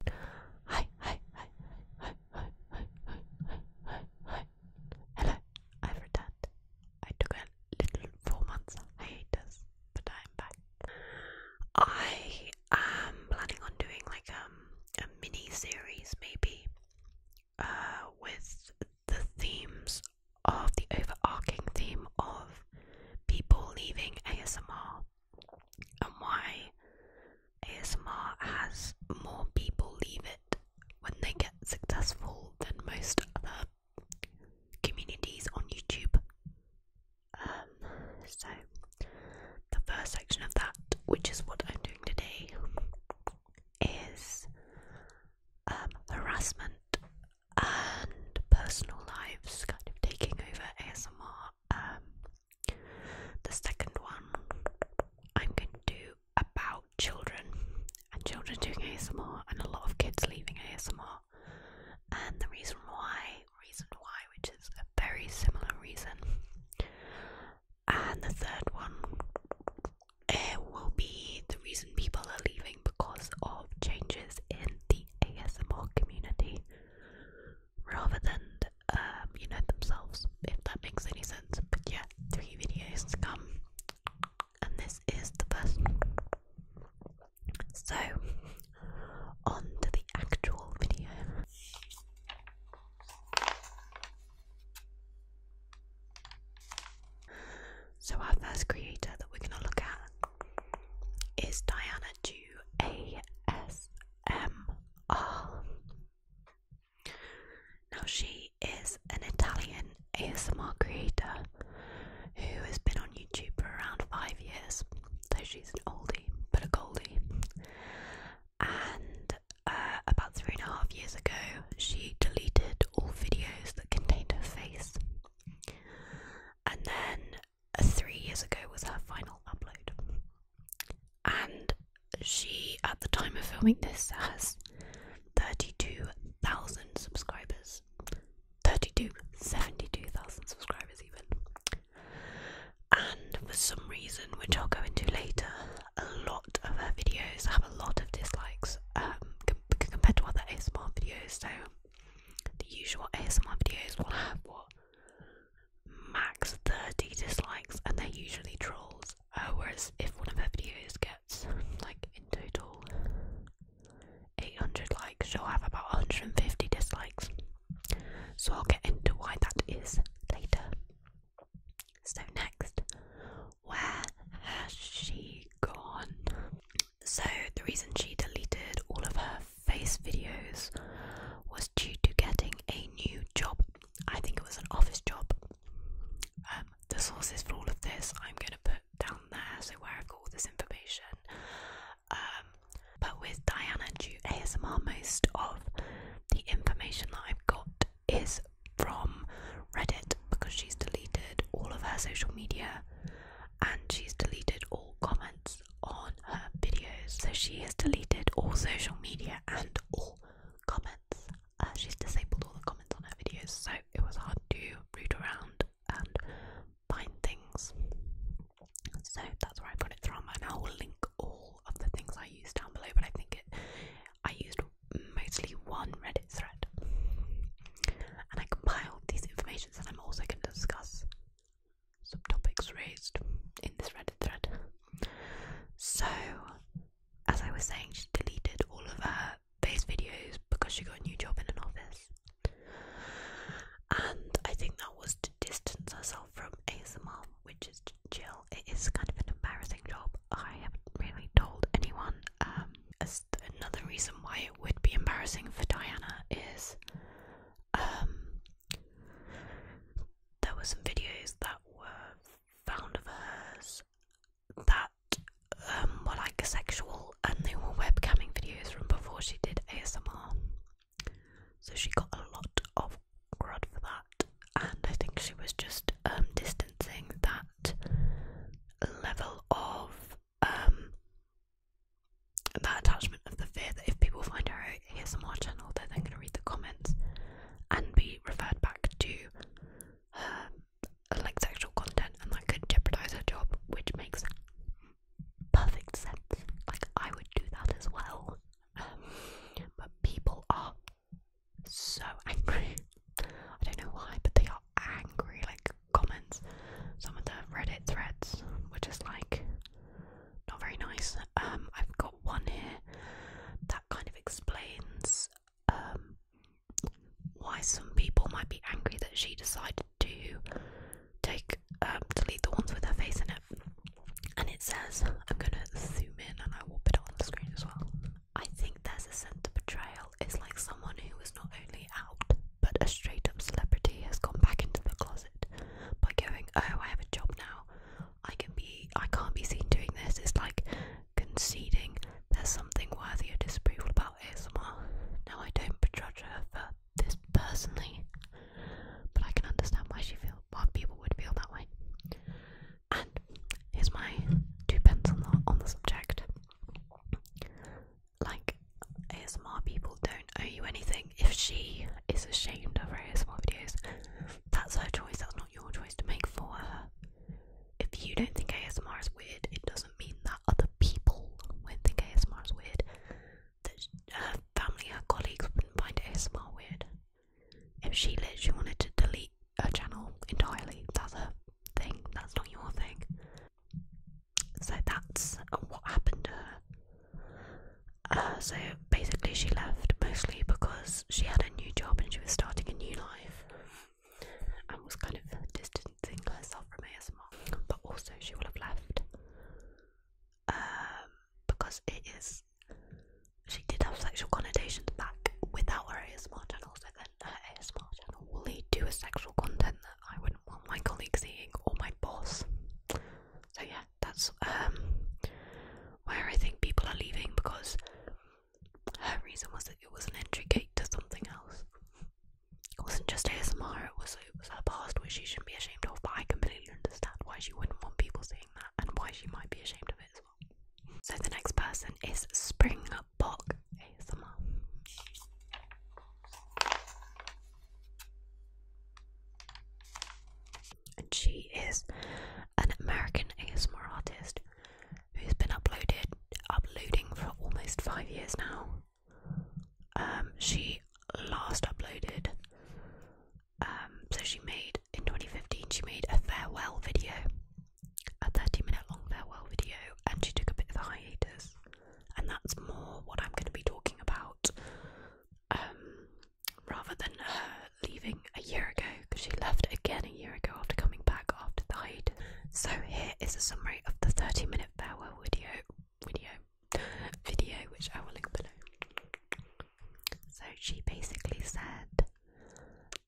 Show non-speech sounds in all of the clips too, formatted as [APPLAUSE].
Hi, hi, hi, hi, hi, hi, hi, hi, hi, hi. Hello, I've I took a little four months hiatus, but I'm back. I am planning on doing like a mini series maybe with the themes of the overarching theme of people leaving ASMR and why ASMR has more people leave it when they get successful than most other communities on YouTube. Um, so, the first section of that, which is what I'm doing today, is um, harassment and personal lives kind of taking over ASMR. Um, the second one I'm going to do about children and children doing ASMR and a lot of kids leaving ASMR. And the reason why, reason why, which is a very similar reason. And the third one it will be the reason people are leaving because of changes in the ASMR community rather than um, you themselves, if that makes any sense. But yeah, three videos to come, and this is the first So, on to the actual video. So, our first creator that we're going to look at is Diana Duas. ASMR. Now, she is an Italian ASMR creator who has been on YouTube for around five years, so she's an oldie but a goldie. And uh, about three and a half years ago, she deleted all videos that contained her face. And then three years ago was her final upload. And she, at the time of filming this, has 32,000 subscribers. 32, subscribers, even. And for some reason, which I'll go into later, a lot of her videos have a lot of dislikes um, compared to other ASMR videos. So the usual ASMR videos will have what max 30 dislikes and they're usually trolls. Uh, whereas if one of her videos gets like in total 800 likes, she'll have about 150 dislikes. So I'll get into why that is later. So, next, where has she gone? So, the reason she deleted all of her face videos was due to getting a new job. I think it was an office job. Um, the sources for all of this I'm going to put down there, so where I've got all this information. Um, but with Diana Jew ASMR, most of the information that I've got is from Reddit because she's deleted all of her social media and she's deleted all comments on her videos. So she has deleted all social media and all comments. Uh, she's disabled all the comments on her videos, so it was hard to root around and find things. So that's where I got it from, and I will link all of the things I used down below. But I think it, I used mostly one Reddit thread, and I compiled these informations, that I'm also going to discuss some topics raised in this Reddit thread. So, as I was saying, she deleted all of her base videos because she got a new job in an office. And I think that was to distance herself from ASMR, which is chill. It is kind of an embarrassing job. I haven't really told anyone. Um, another reason why it would be embarrassing for Diana is um, there were some videos that were found of hers that um, were like sexual, and they were webcamming videos from before she did ASMR. So she got a lot of crud for that, and I think she was just um, distancing that level of um, that attachment of the fear that if people find her here our ASMR channel, they're then going to read the comments and be referred back to like sexual content, and that could jeopardize her job, which makes perfect sense. Like I would do that as well, um, but people are so angry. I don't know why, but they are angry. Like comments, some of the Reddit threads were just like not very nice. Um, I've got one here that kind of explains um, why some people might be angry that she decided to take delete um, the ones with her face in it. And it says, I'm gonna zoom in and I will put it on the screen as well. I think there's a sense of betrayal. It's like someone who was not only out, but a straight up celebrity has gone back into the closet by going, Oh, I have a job now. I can be I can't be seen doing this. It's like conceding there's something worthy of disapproval about ASMR. Now I don't begrudge her for this personally, but I can understand why she feel why people would feel that way. And here's my two pence on the on the subject. Like ASMR people don't owe you anything. If she is ashamed of her ASMR videos, that's her choice, that's not your choice to make for her. If you don't think ASMR is weird, it doesn't mean that other people won't think ASMR is weird. That her family, her colleagues wouldn't find ASMR weird. If she literally wanted to delete her channel entirely, that's her thing, that's not your thing. So that's what happened to her. Uh, so basically, she left mostly because she had a new job and she was starting a new life and was kind of distancing herself from ASMR. But also, she will have left um, because it is. She did have sexual connotations back without her ASMR channel, so then her ASMR channel will lead to a sexual content that I wouldn't want my colleagues seeing or my boss. So yeah, that's um where I think people are leaving because her reason was that it was an entry gate to something else. It wasn't just ASMR, it was it was her past which she shouldn't be ashamed of, but I completely understand why she wouldn't want people seeing that and why she might be ashamed of it as well. So the next person is Springbok ASMR and she is an American ASMR artist who's been uploaded uploading for almost five years now. Um, she last uploaded, um, so she made in 2015 she made a farewell video, a 30 minute long farewell video, and she took a bit of a hiatus, and that's more what I'm going to be talking about. Um, rather than her leaving a year ago, because she left again a year ago after coming back after the height. So here is a summary of the 30 minute power video video video which I will link below. So she basically said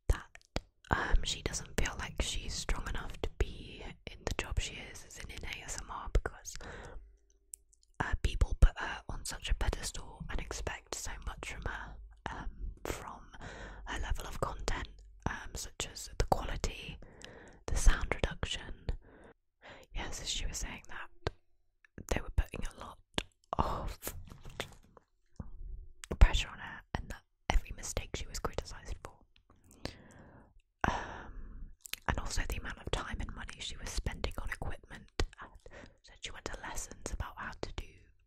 that um, she doesn't feel like she's strong enough to be in the job she is, is in, in ASMR because uh, people put her on such a pedestal and expect so much from her, um, from her level of content, um, such as the quality, the sound reduction. Yes, yeah, she was saying that they were putting a lot of pressure on her, and that every mistake she was criticised for. Um, and also the amount of time and money she was spending on equipment said she went to lessons about how to do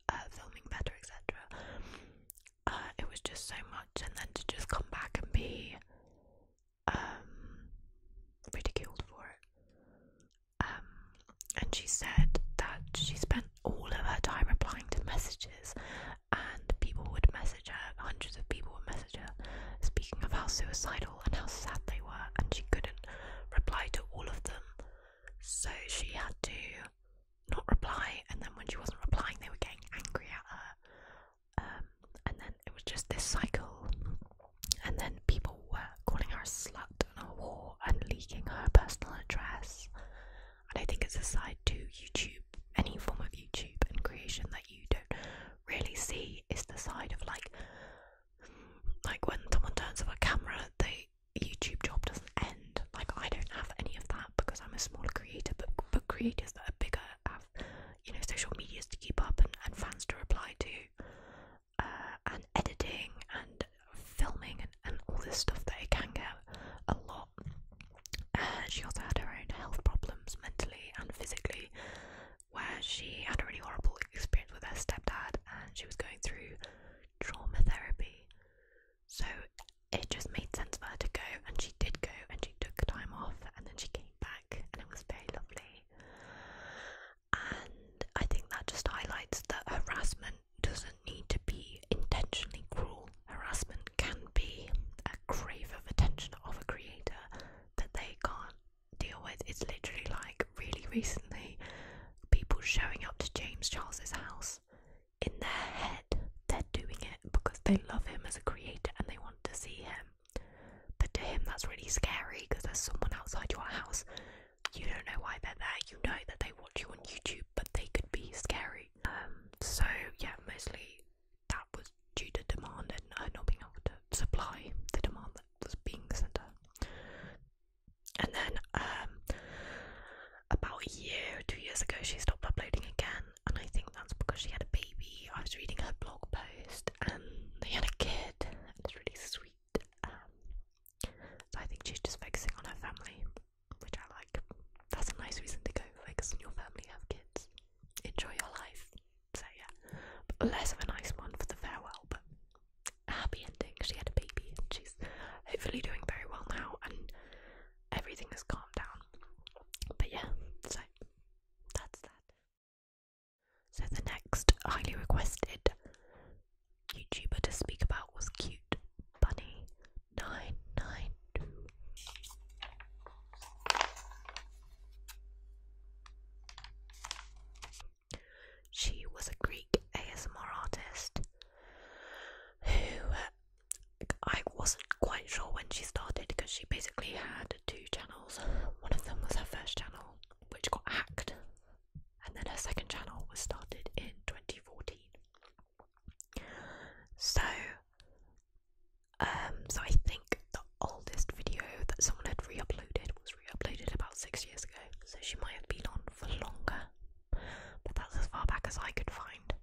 uh, filming better, etc. Uh, it was just so much, and then to just come back and be um, ridiculed for it. Um, and she said that she spent all of her time replying to messages, and people would message her, hundreds of people would message her, speaking of how suicidal and how sad they were, and she couldn't reply to all of them. So she had to not reply, and then when she wasn't replying, they were getting angry at her. Um, and then it was just this cycle, and then people were calling her a slut and a whore and leaking her personal address. And I think it's a side to YouTube, any form of YouTube and creation that you don't really see is the side of like like when someone turns off a camera, the YouTube job doesn't end. Like I don't have any of that because I'm a smaller creator, but but creators that are bigger have, you know, social medias to keep up and, and fans to reply to, uh, and editing and filming and, and all this stuff that it can get a lot. Uh, she also had her own health problems mentally and physically, where she had a really horrible experience with her stepdad and she was going through trauma therapy. So it just made sense for her to go, and she did go, and she took time off, and then she came back, and it was very lovely. And I think that just highlights that harassment doesn't need to be intentionally cruel. Harassment can be a crave of attention of a creator that they can't deal with. It's literally like really recently people showing up to James Charles's house in their head, they're doing it because they love him as a creator and they want to see him. But to him, that's really scary because there's someone outside your house. You don't know why they're there. You know that they watch you on YouTube, but they could be scary. Um, so yeah, mostly that was due to demand and not being able to supply the demand that was being sent her. And then um, about a year, two years ago, she stopped uploading again, and I think that's because she had a baby. I was reading her blog post, and they had a kid, and it's really sweet. Um, so I think she's just focusing on her family, which I like. That's a nice reason to go focus on your family, have kids, enjoy your life. So yeah, less of a nice one for the farewell, but happy ending. She had a baby and she's hopefully doing very well now and everything has calmed down. But yeah, so that's that. So the next highly requested YouTuber to speak about was Cute Bunny 992. She was a Greek ASMR artist who I wasn't quite sure when she started because she basically had two channels. One of them was her first channel, which got hacked, and then her second channel was started in 2014. So, um, so I think the oldest video that someone had re-uploaded was was uploaded about six years ago, so she might have been on for longer. But that's as far back as I could find.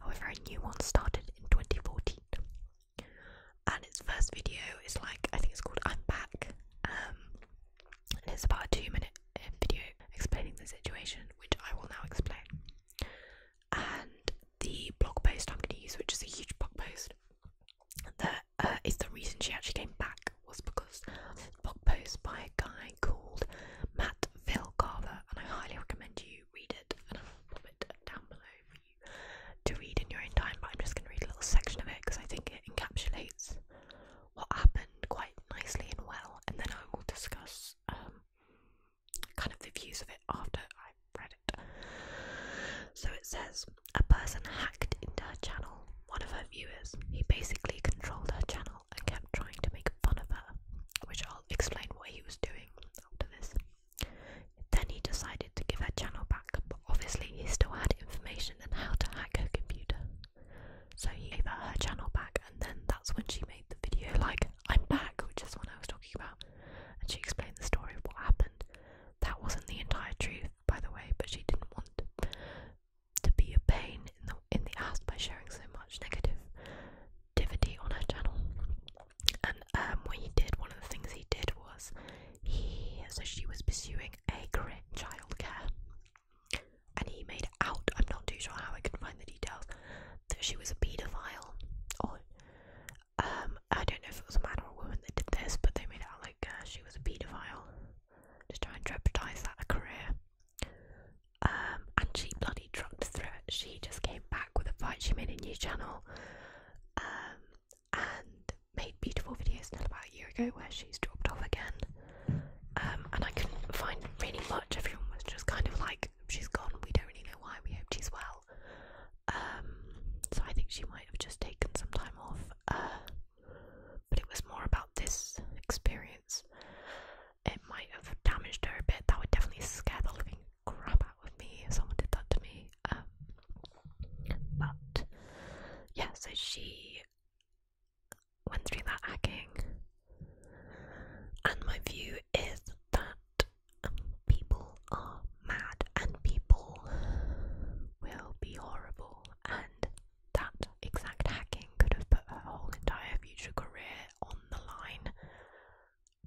However, a new one started in 2014, and its first video is like I think it's called "I'm Back," um, and it's about a two-minute uh, video explaining the situation, which I will now explain. And the blog post I'm going to use, which is a huge blog post, that uh, is the reason she actually came back was because a blog post by a guy called Matt Vilcarver, and I highly recommend you read it, and I'll put it down below for you to read in your own time. But I'm just going to read a little section of it because I think it encapsulates what happened quite nicely and well, and then I will discuss um, kind of the views of it after I've read it. So it says a person hacked into her channel, one of her viewers. He basically controlled her channel and kept trying to make fun of her, which I'll explain what he was doing after this. Then he decided to give her channel back, but obviously he still had information on how to hack her computer. So he gave her her channel back, and then that's when she made the video like, I'm back, which is what I was talking about. And she explained the story of what happened, that wasn't the entire truth, by the way, but she didn't want to, be a pain in the in the ass by sharing so much negative negativity on her channel. And um, what he did, one of the things he did was he so she was pursuing a career in childcare, and he made out. I'm not too sure how I can find the details that she was a paedophile, or um, I don't know if it was a man or a woman that did this, but they made out like uh, she was a paedophile to try and jeopardise that career. Um, and she bloody dropped through it. She just came back with a fight. She made a new channel um, and made beautiful videos until about a year ago where she's dropped off again. Um, and I couldn't find really much. Everyone was just kind of like, she's gone. We don't really know why. We hope she's well. so I think she might have just taken some time off. Uh, but it was more about this experience. It might have damaged her a bit. That would definitely scare the living crap out of me if someone did that to me. Um, but yeah, so she went through that hacking, and my view is that um, people are mad and people will be horrible and that exact hacking could have put her whole entire future career on the line,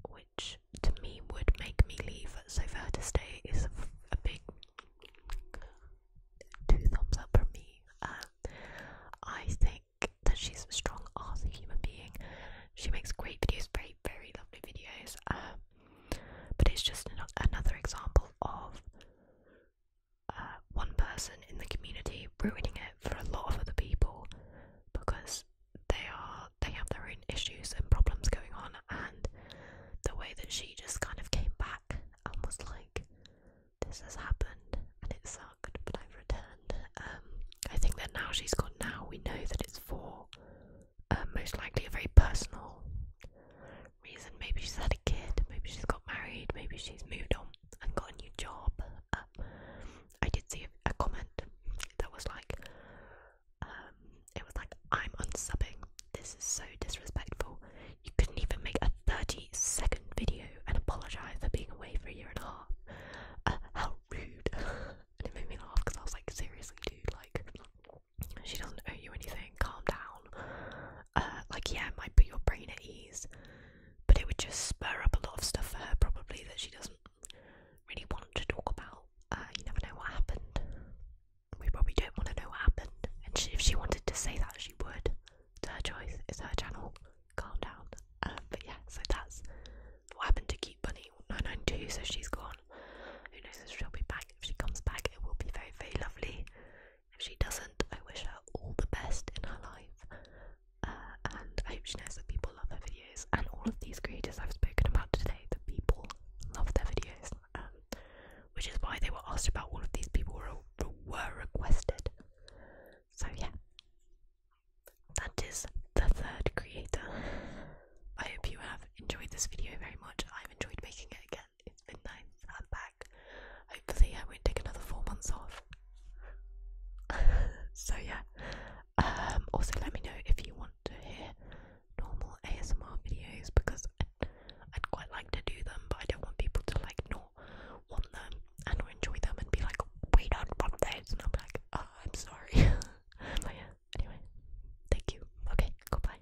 which to me would make me leave. So for to stay is a big two thumbs up from me. Um, I think that she's a strong ass human being. She makes great videos, very very lovely videos. Um, but it's just another example of uh, one person in the community ruining it for a lot of other people because they are they have their own issues and problems going on and the way that she just kind of came back and was like this has happened and it sucked but I've returned um I think that now she's gone now we know that it's for uh, most likely a very personal reason. Maybe she's had a kid, maybe she's got married, maybe she's moved on and got a new job. Uh, I did see a, comment that was like, um, it was like, I'm unsubbing. This is so disrespectful. You couldn't even make a 30 second video and apologise for being away for a year and a half. Uh, how rude. [LAUGHS] and it made me laugh because I was like, seriously, dude, like, she doesn't owe you anything, calm down. Uh, like, yeah, it might put your brain at ease, but it would just spur up a lot of stuff for her, probably, that she doesn't really want to talk about. Uh, you never know what happened. We probably don't want to know what happened. And if she wanted to say that, she would. It's her choice, it's her channel. Calm down. Uh, but yeah, so that's what happened to Cute Bunny 992, so she's gone. Who knows if she'll be back? If she comes back, it will be very, very lovely. If she doesn't, I wish her all the best in her life. Uh, and I hope she knows that people love her videos. And all of these creators I've spoken about today, the people love their videos. Um, which is why they were asked about all of these people were, were requested. So yeah. That is the third creator. I hope you have enjoyed this video very much. I've enjoyed making it again again if I'm back. Hopefully I won't take another four months off. [LAUGHS] so yeah. Um, also let me know if you want to hear normal ASMR videos because I'd, quite like to do them but I don't want people to like not want them and or enjoy them and be like wait, I want those and i will be like, oh I'm sorry. [LAUGHS] anyway. Thank you. Okay, goodbye.